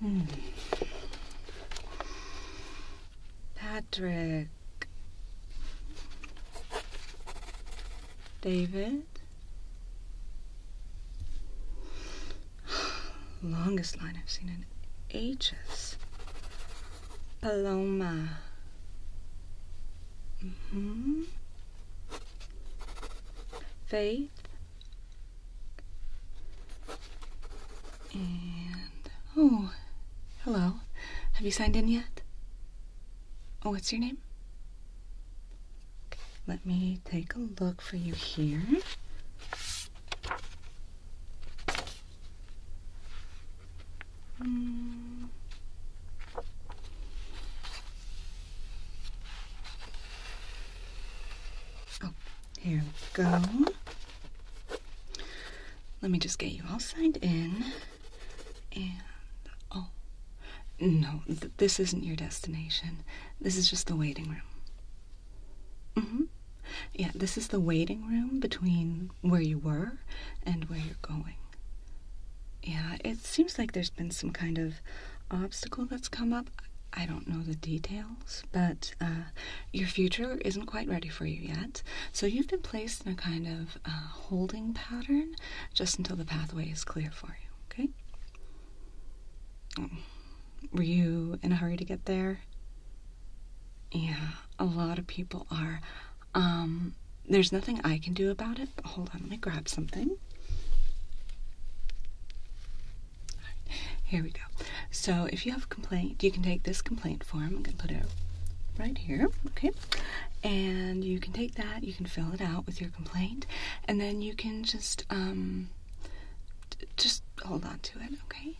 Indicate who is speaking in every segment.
Speaker 1: Hmm. Patrick. David? Longest line I've seen in ages. Paloma. Mm hmm Faith and oh, hello. Have you signed in yet? Oh, what's your name? let me take a look for you here. Mm. Oh, here we go. Let me just get you all signed in. And oh, no, this isn't your destination. This is just the waiting room. Mm hmm. Yeah, this is the waiting room between where you were and where you're going. Yeah, it seems like there's been some kind of obstacle that's come up. I don't know the details, but uh, your future isn't quite ready for you yet. So you've been placed in a kind of uh, holding pattern just until the pathway is clear for you, okay? Mm. Were you in a hurry to get there? Yeah, a lot of people are. Um, there's nothing I can do about it. Hold on, let me grab something. here we go. So if you have a complaint, you can take this complaint form. I'm going to put it right here, okay? And you can take that, you can fill it out with your complaint, and then you can just, um, just hold on to it, okay?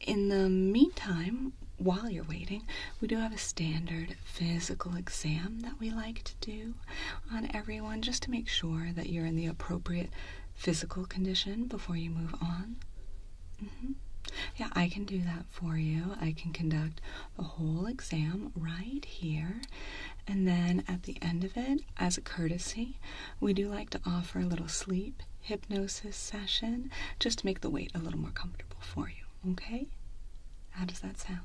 Speaker 1: In the meantime, while you're waiting, we do have a standard physical exam that we like to do on everyone just to make sure that you're in the appropriate physical condition before you move on. Mm-hmm. Yeah, I can do that for you. I can conduct a whole exam right here. And then at the end of it, as a courtesy, we do like to offer a little sleep hypnosis session just to make the wait a little more comfortable for you. Okay? How does that sound?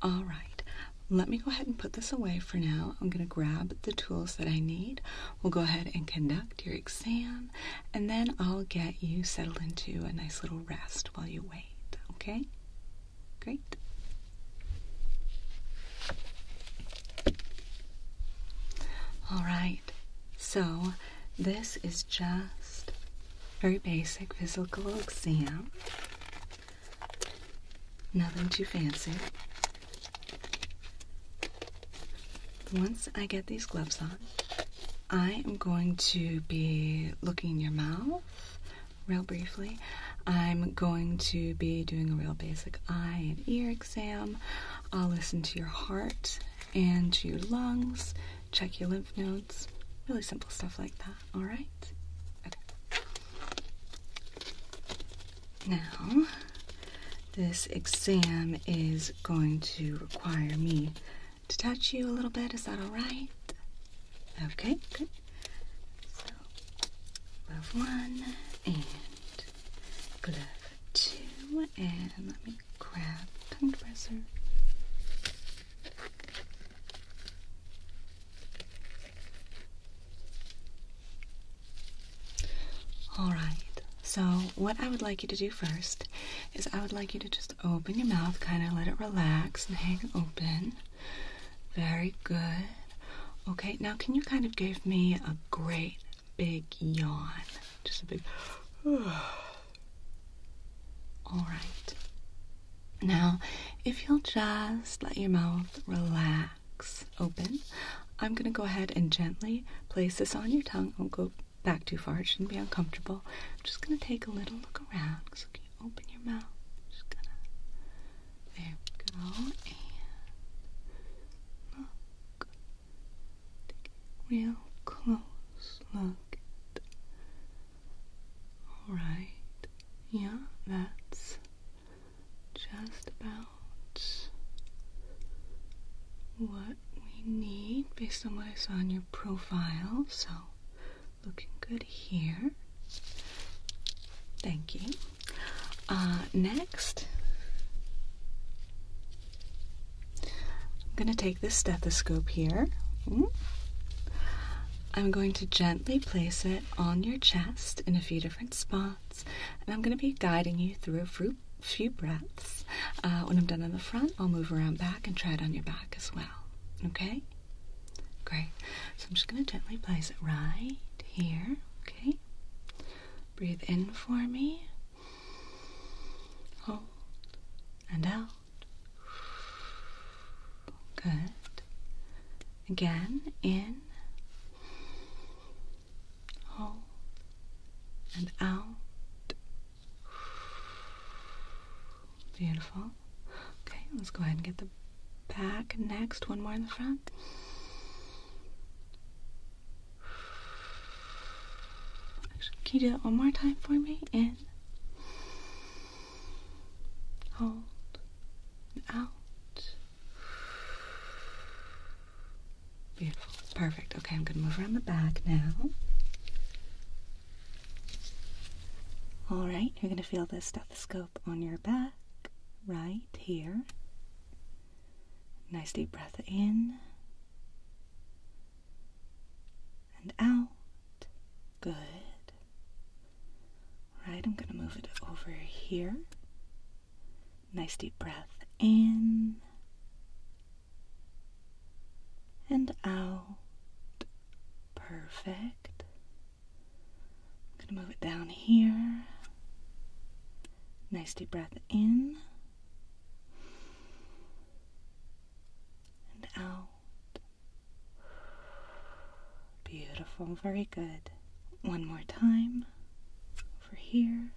Speaker 1: All right. Let me go ahead and put this away for now. I'm going to grab the tools that I need. We'll go ahead and conduct your exam, and then I'll get you settled into a nice little rest while you wait. Okay? Great. All right. So, this is just very basic physical exam. Nothing too fancy. Once I get these gloves on, I am going to be looking in your mouth real briefly. I'm going to be doing a real basic eye and ear exam. I'll listen to your heart and to your lungs, check your lymph nodes. Really simple stuff like that, alright? Okay. Now, this exam is going to require me to touch you a little bit. Is that alright? Okay, good. glove one and glove two, and crab tongue depressor. All right. So, what I would like you to do first is I would like you to just open your mouth, kind of let it relax and hang open. Very good. Okay, now can you kind of give me a great big yawn? Just a big. All right. Now, if you'll just let your mouth relax open, I'm going to go ahead and gently place this on your tongue. Don't go back too far, it shouldn't be uncomfortable. I'm just going to take a little look around. can you open your mouth? Just gonna. There we go. look. real close look. Alright, yeah, that's just about what we need based on what I saw on your profile. So, looking good here. Thank you. Uh, next, I'm going to take this stethoscope here. I'm going to gently place it on your chest in a few different spots, and I'm going to be guiding you through a few breaths. Uh, when I'm done on the front, I'll move around back and try it on your back as well. Okay? Great. So I'm just going to gently place it right here. Okay? Breathe in for me. Hold and out. Good. Again, in, hold, and out. Beautiful. Okay, let's go ahead and get the back next. One more in the front can you do it one more time for me? In, hold, and out. Beautiful. Perfect. Okay, I'm going to move around the back now. All right, you're going to feel the stethoscope on your back right here. Nice deep breath in and out. Good. All right, I'm going to move it over here. Nice deep breath in and out. Perfect. I'm going to move it down here. Nice deep breath in and out. Beautiful, very good. One more time. Over here.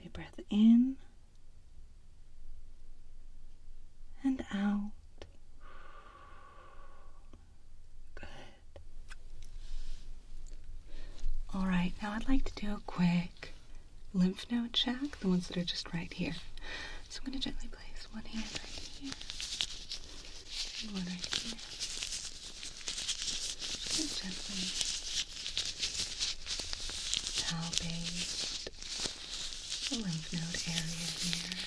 Speaker 1: Deep breath in and out. Good. All right, now I'd like to do a quick lymph node check, the ones that are just right here. So I'm going to gently place one hand right here and one right here. Just going to gently palpate the lymph node area here.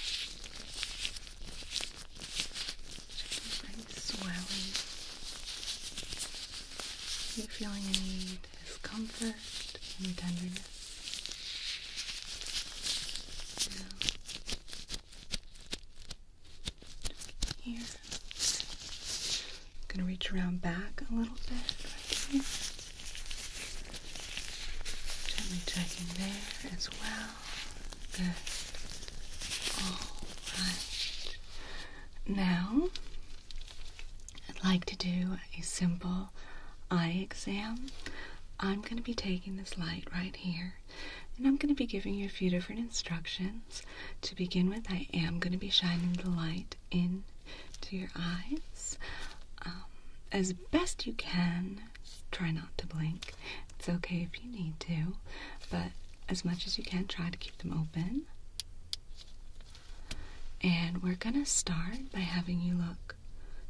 Speaker 1: Just going to bring swelling. Are you feeling any is comfort and tenderness. here. I'm going to reach around back a little bit right here. Gently checking there as well. Good. Alright. Now, I'd like to do a simple eye exam, I'm going to be taking this light right here and I'm going to be giving you a few different instructions. To begin with, I am going to be shining the light in to your eyes um, as best you can. Try not to blink. It's okay if you need to, but as much as you can, try to keep them open. And we're gonna start by having you look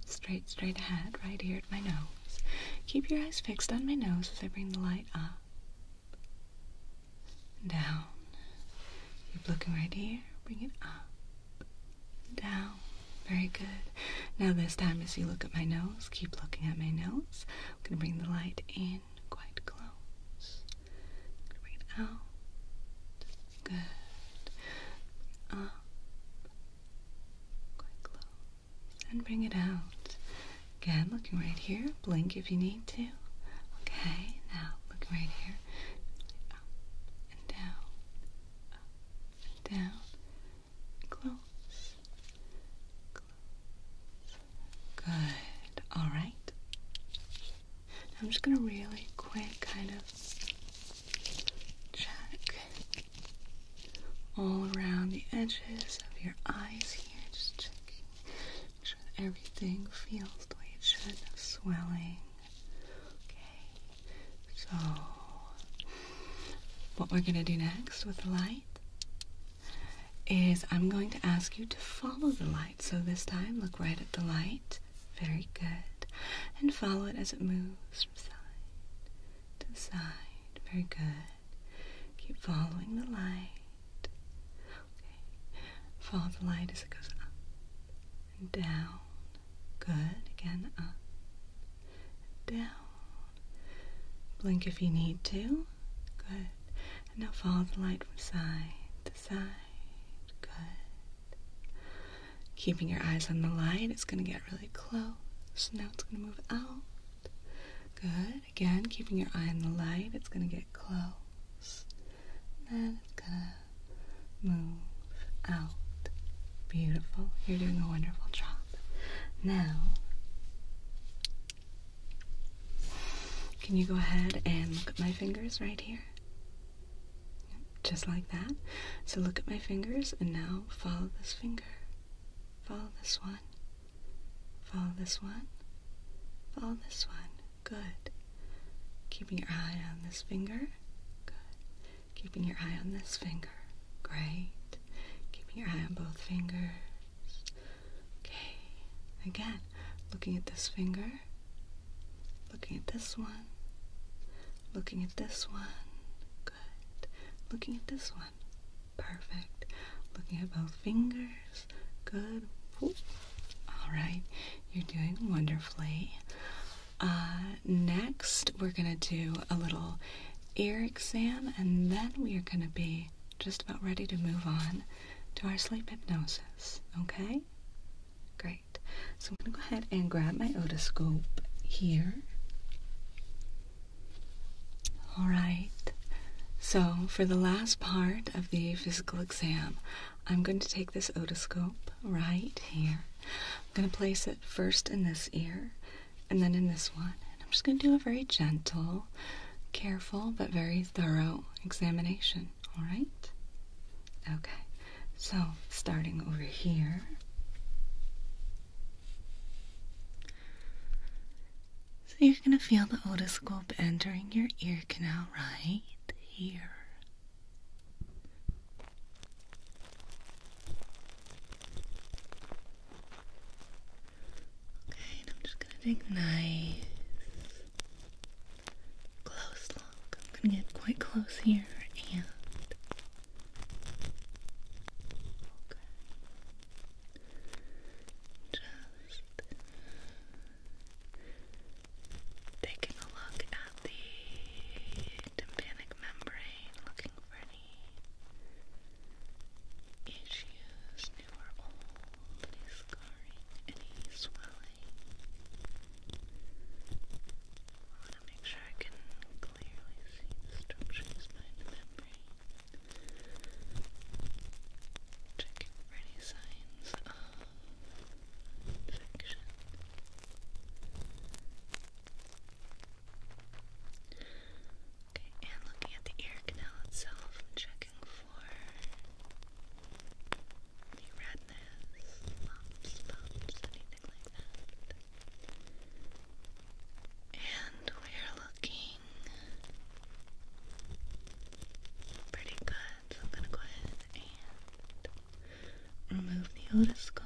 Speaker 1: straight, straight ahead, right here at my nose. Keep your eyes fixed on my nose as I bring the light up. Down. Keep looking right here. Bring it up. Down. Very good. Now this time as you look at my nose, keep looking at my nose. I'm gonna bring the light in quite close. i out. Good. Up. Quite close. And bring it out. Again, looking right here. Blink if you need to. Okay, now look right here. Up and down. Up and down. Close. Close. Good. All right. Now I'm just going to really quick kind of Check all around the edges of your eyes here. Just checking. that everything feels the way it should. No swelling. Okay. So, what we're going to do next with the light is I'm going to ask you to follow the light. So, this time, look right at the light. Very good. And follow it as it moves from side to side. Very good. Keep following the light. Okay. Follow the light as it goes up and down. Good. Again, up down. Blink if you need to. Good. now follow the light from side to side. Good keeping your eyes on the light. It's going to get really close. So Now it's going to move out. Good. Again, keeping your eye on the light. It's going to get close. Then it's going to move out. Beautiful. You're doing a wonderful job. Now, can you go ahead and look at my fingers right here? Just like that. So look at my fingers and now follow this finger. Follow this one. Follow this one. Follow this one. Good. Keeping your eye on this finger. Good. Keeping your eye on this finger. Great. Keeping your eye on both fingers. Okay. Again, looking at this finger. Looking at this one. Looking at this one. Good. Looking at this one. Perfect. Looking at both fingers. Good. All right. You're doing wonderfully. Uh, next, we're going to do a little ear exam, and then we are going to be just about ready to move on to our sleep hypnosis. Okay? Great. So I'm going to go ahead and grab my otoscope here. All right. So for the last part of the physical exam, I'm going to take this otoscope right here. I'm going to place it first in this ear and then in this one. And I'm just going to do a very gentle, careful, but very thorough examination. All right? Okay, so starting over here. So you're going to feel the otoscope entering your ear canal right here. Okay, I'm just going to take nice close look. I'm going to get quite close here and just taking a look at the tympanic membrane, looking for any issues, new old, any scarring, any swelling. I want to make sure I can clearly see the structures behind the membrane. Checking for any signs of infection. Okay, and looking at the ear canal itself, checking for the redness, lumps, bumps, and we're looking pretty good. So I'm going to go ahead and remove the otoscope.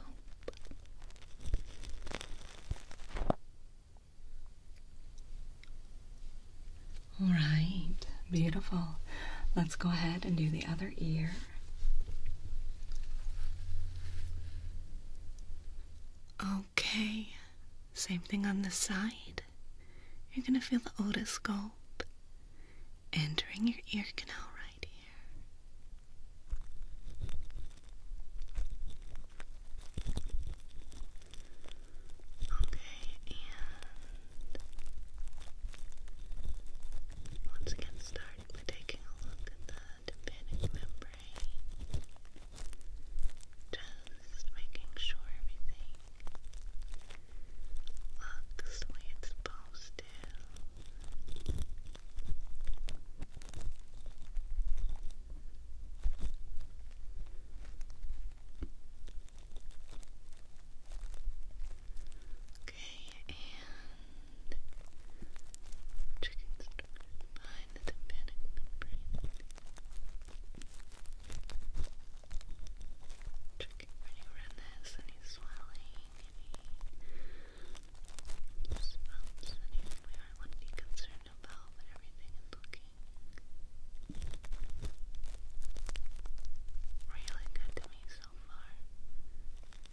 Speaker 1: All right, beautiful. Let's go ahead and do the other ear. Okay, same thing on the side. You're gonna feel the otoscope entering your ear canal right here. Okay, and once again, start currently taking a look at the tympanic membrane, just making sure everything looks the way it's supposed to. Okay, checking structures behind the tympanic membrane, checking for redness, any swelling, any we might want to concerned about, but everything is looking really good to me so far.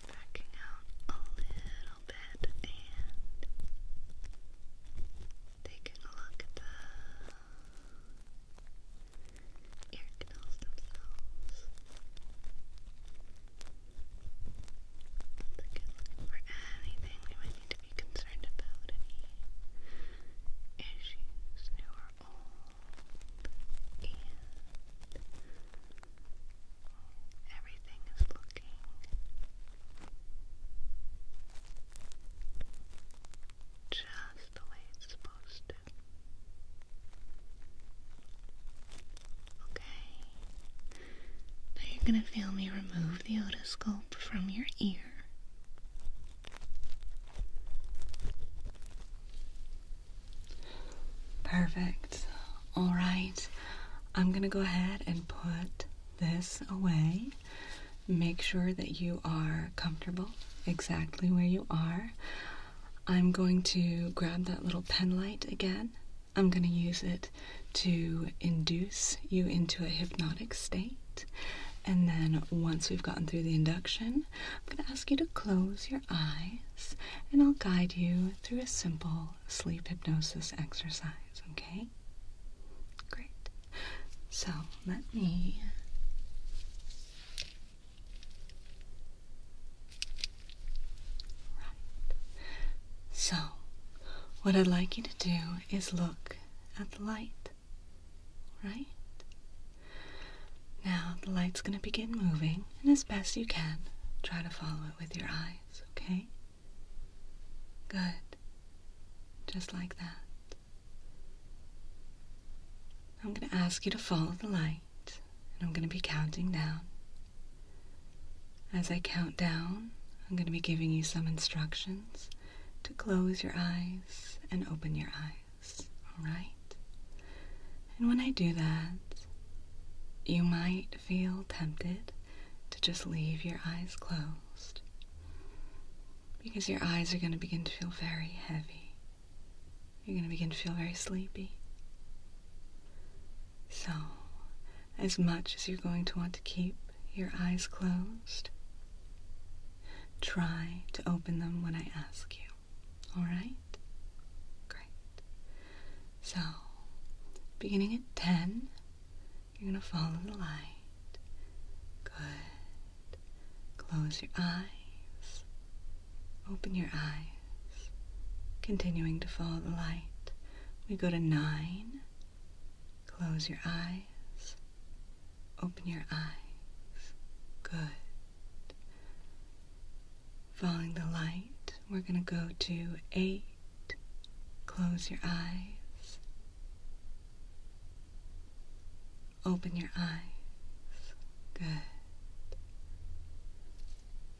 Speaker 1: Backing out a little bit and taking a look at the ear canals themselves. Once again, looking for anything we might need to be concerned about, any issues, new or old, Everything is looking just the way it's supposed to. Okay. Now you're going to feel me remove the otoscope from your ear. Perfect. All right. I'm going to go ahead and put this away. Make sure that you are comfortable exactly where you are. I'm going to grab that little pen light again. I'm going to use it to induce you into a hypnotic state. And then once we've gotten through the induction, I'm going to ask you to close your eyes and I'll guide you through a simple sleep hypnosis exercise, okay? Great. So let me right. So what I'd like you to do is look at the light. Right? Now the light's gonna begin moving, and as best you can, try to follow it with your eyes okay? Good. Just like that. I'm going to ask you to follow the light, and I'm going to be counting down. As I count down, I'm going to be giving you some instructions to close your eyes and open your eyes, alright? And when I do that, you might feel tempted to just leave your eyes closed because your eyes are going to begin to feel very heavy. You're going to begin to feel very sleepy. So, as much as you're going to want to keep your eyes closed, try to open them when I ask you. All right? Great. So, beginning at 10, you're going to follow the light. Good. Close your eyes. Open your eyes. Continuing to follow the light. We go to 9. Close your eyes. Open your eyes. Good. Following the light, we're going to go to 8. Close your eyes. Open your eyes. Good.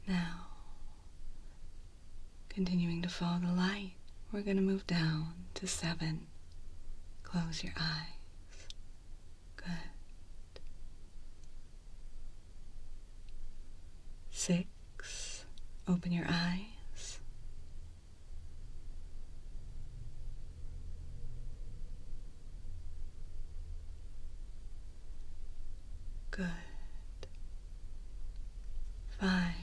Speaker 1: Now, continuing to follow the light, we're going to move down to seven. Close your eyes. Good. Six, open your eyes. Good. Five,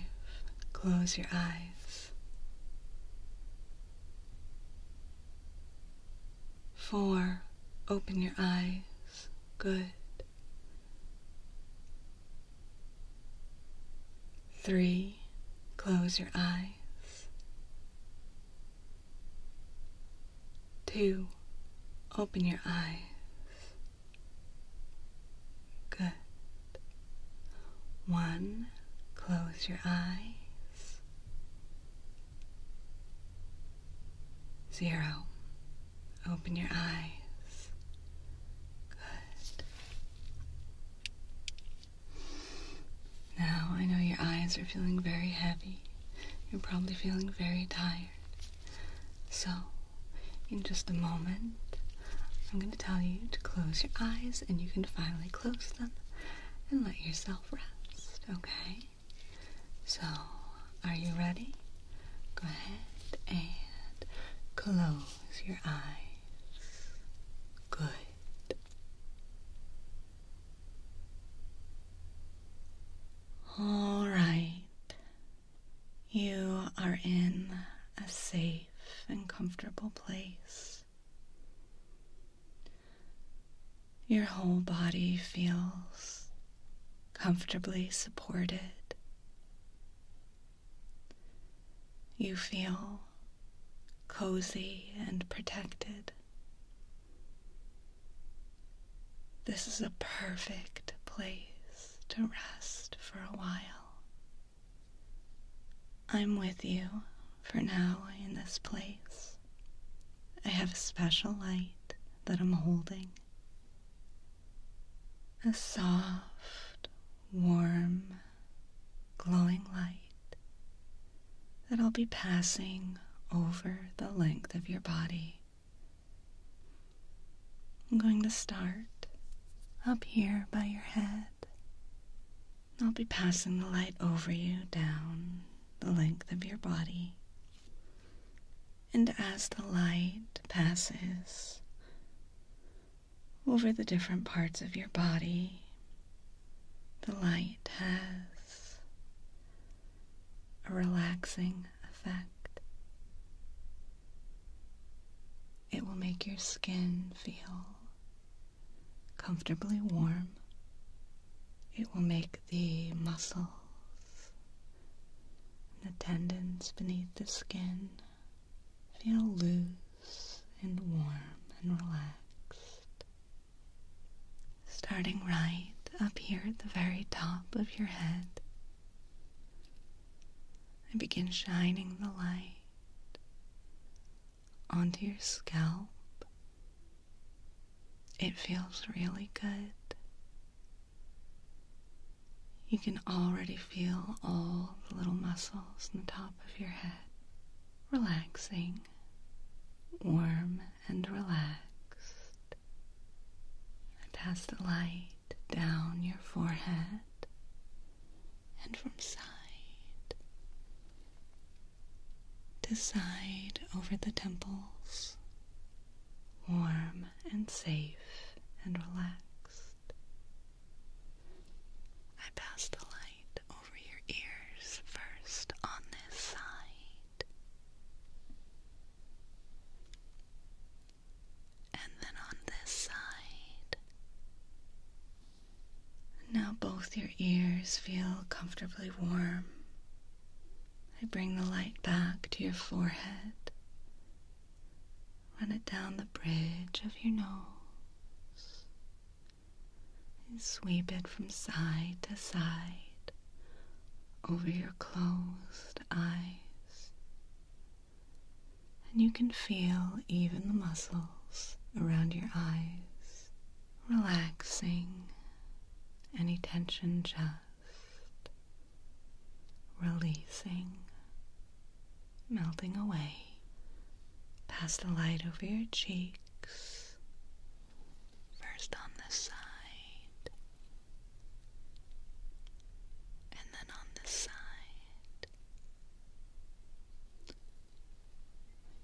Speaker 1: close your eyes. Four, open your eyes. Good. Three, close your eyes. Two, open your eyes. Good. One, close your eyes. Zero. Open your eyes. Good. Now I know your eyes are feeling very heavy. You're probably feeling very tired. So, in just a moment, I'm going to tell you to close your eyes and you can finally close them and let yourself rest, okay? So, are you ready? Go ahead and close your eyes. Good. All right. You are in a safe and comfortable place. Your whole body feels comfortably supported. You feel cozy and protected. This is a perfect place to rest for a while. I'm with you for now in this place. I have a special light that I'm holding a soft, warm, glowing light that'll i be passing over the length of your body. I'm going to start up here by your head. I'll be passing the light over you down the length of your body and as the light passes over the different parts of your body, the light has a relaxing effect. It will make your skin feel comfortably warm. It will make the muscles and the tendons beneath the skin feel loose and warm and relaxed. Starting right up here at the very top of your head, and begin shining the light onto your scalp. It feels really good you can already feel all the little muscles in the top of your head relaxing, warm and relaxed. I pass the light down your forehead and from side to side over the temples warm and safe and relaxed. I pass the light over your ears first on this side, and then on this side. Now both your ears feel comfortably warm. I bring the light back to your forehead Run it down the bridge of your nose and sweep it from side to side over your closed eyes. And you can feel even the muscles around your eyes relaxing any tension just releasing, melting away Pass the light over your cheeks, first on this side, and then on this side.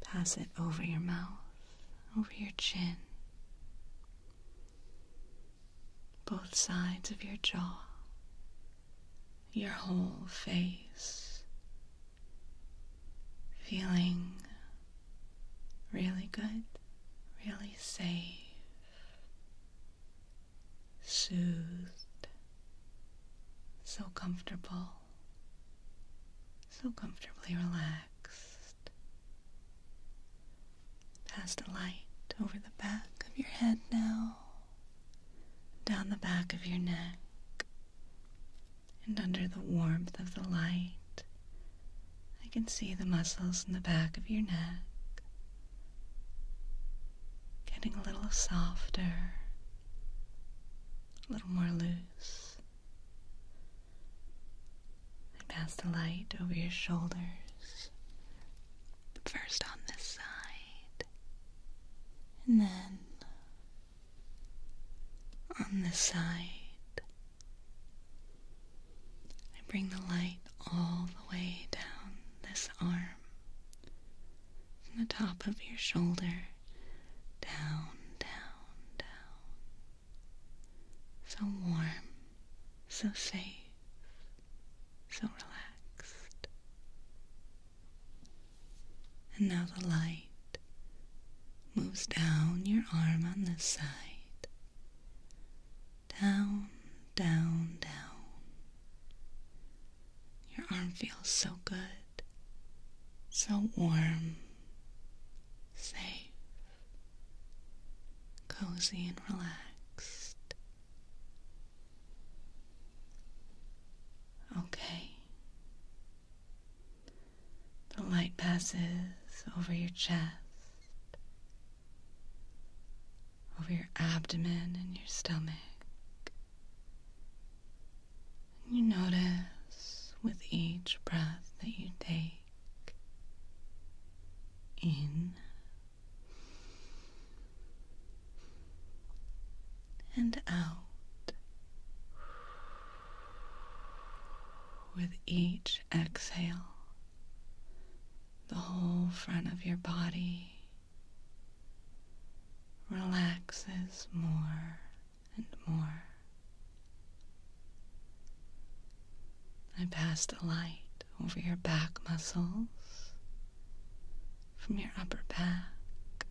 Speaker 1: Pass it over your mouth, over your chin both sides of your jaw, your whole face, feeling really good, really safe, soothed, so comfortable, so comfortably relaxed. Pass a light over the back of your head now, down the back of your neck, and under the warmth of the light, I can see the muscles in the back of your neck getting a little softer, a little more loose. pass the light over your shoulders first on this side, and then on this side. I bring the light all the way down this arm, from the top of your shoulder, down, down, down. So warm, so safe so relaxed. And now the light moves down your arm on this side. Down, down, down. Your arm feels so good, so warm, safe, cozy, and relaxed. Okay. The light passes over your chest, over your abdomen and your stomach. You notice with each breath that you take in and out with each exhale. The whole front of your body relaxes more and more. I passed a light over your back muscles, from your upper back,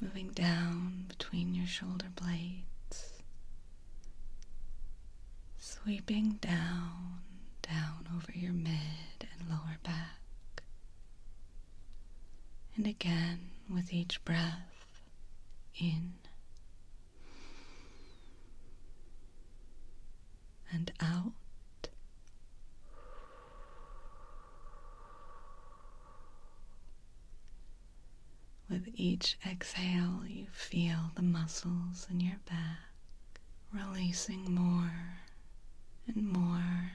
Speaker 1: moving down between your shoulder blades, sweeping down, down over your mid and lower back. And again, with each breath in and out. With each exhale, you feel the muscles in your back releasing more and more,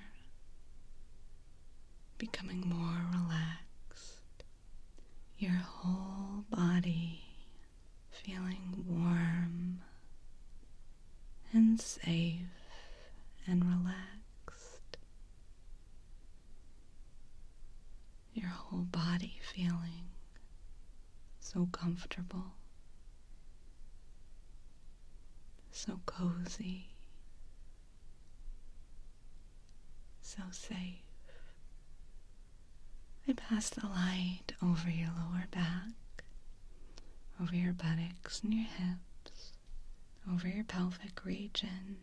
Speaker 1: becoming more relaxed. Your whole body feeling warm and safe and relaxed. Your whole body feeling so comfortable, so cozy, so safe. I pass the light over your lower back, over your buttocks and your hips, over your pelvic region,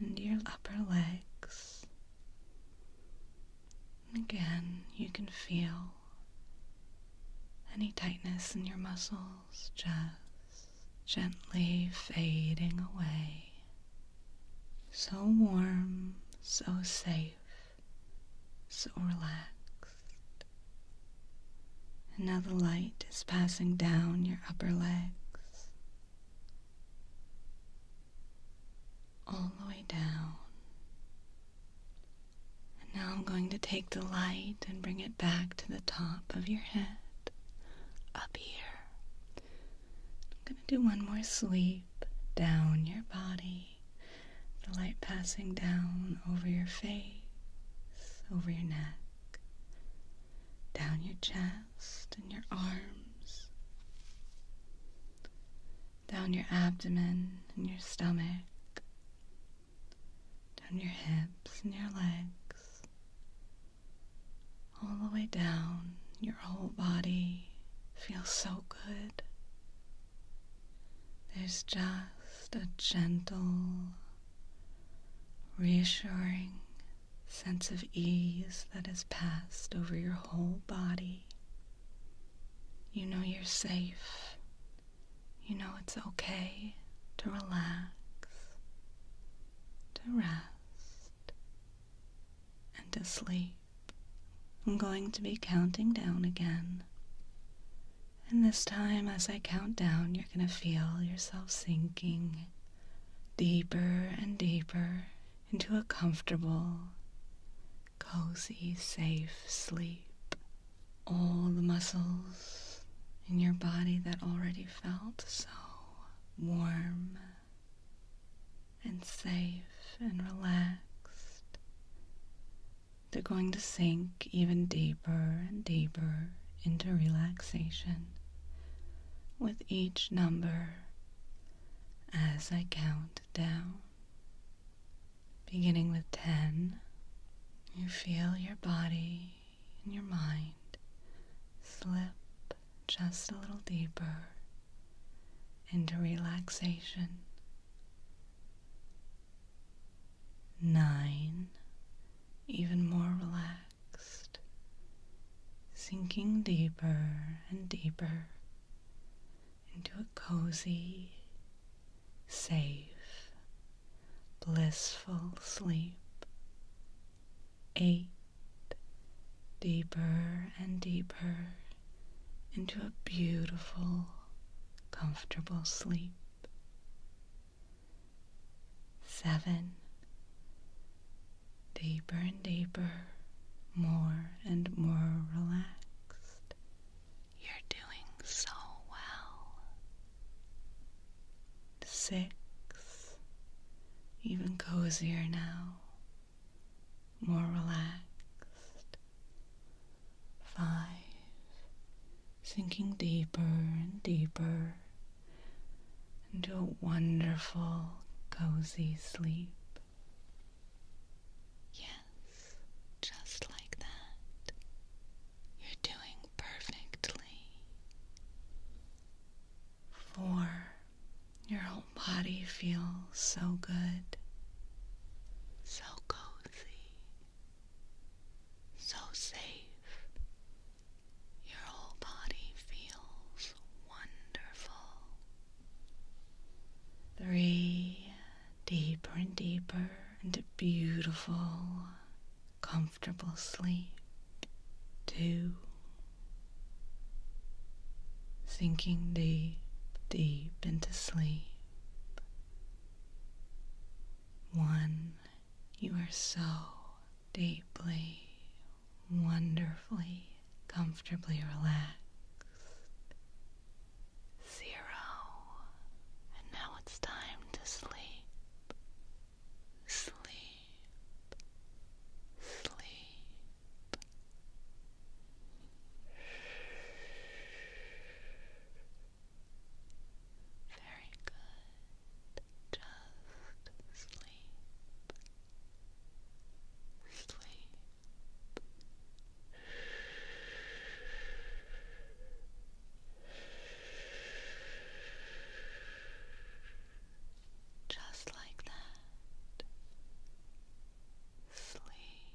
Speaker 1: and your upper legs. Again, you can feel any tightness in your muscles just gently fading away. So warm, so safe so relaxed. And now the light is passing down your upper legs, all the way down. And now I'm going to take the light and bring it back to the top of your head, up here. I'm going to do one more sweep down your body the light passing down over your face, over your neck, down your chest and your arms, down your abdomen and your stomach, down your hips and your legs, all the way down your whole body feels so good. There's just a gentle, reassuring sense of ease that has passed over your whole body. You know you're safe. You know it's okay to relax, to rest, and to sleep. I'm going to be counting down again. And this time, as I count down, you're going to feel yourself sinking deeper and deeper into a comfortable, cozy, safe sleep. All the muscles in your body that already felt so warm and safe and relaxed. They're going to sink even deeper and deeper into relaxation with each number as I count down. Beginning with 10, you feel your body and your mind slip just a little deeper into relaxation. Nine, even more relaxed, sinking deeper and deeper into a cozy, safe, blissful sleep. Eight, deeper and deeper into a beautiful, comfortable sleep. Seven. Deeper and deeper, more and more relaxed. You're doing so well. Six. Even cozier now, more relaxed. Five, sinking deeper and deeper into a wonderful, cozy sleep. Yes, just like that. You're doing perfectly. Four, your whole body feels so good so cozy, so safe. Your whole body feels wonderful. Three deeper and deeper into beautiful, comfortable sleep. Two. Sinking deep, deep into sleep. One, you are so deeply, wonderfully, comfortably relaxed. Zero. And now it's time to sleep. Sleep. Sleep. Very good. Just sleep. Sleep. Just like that. Sleep.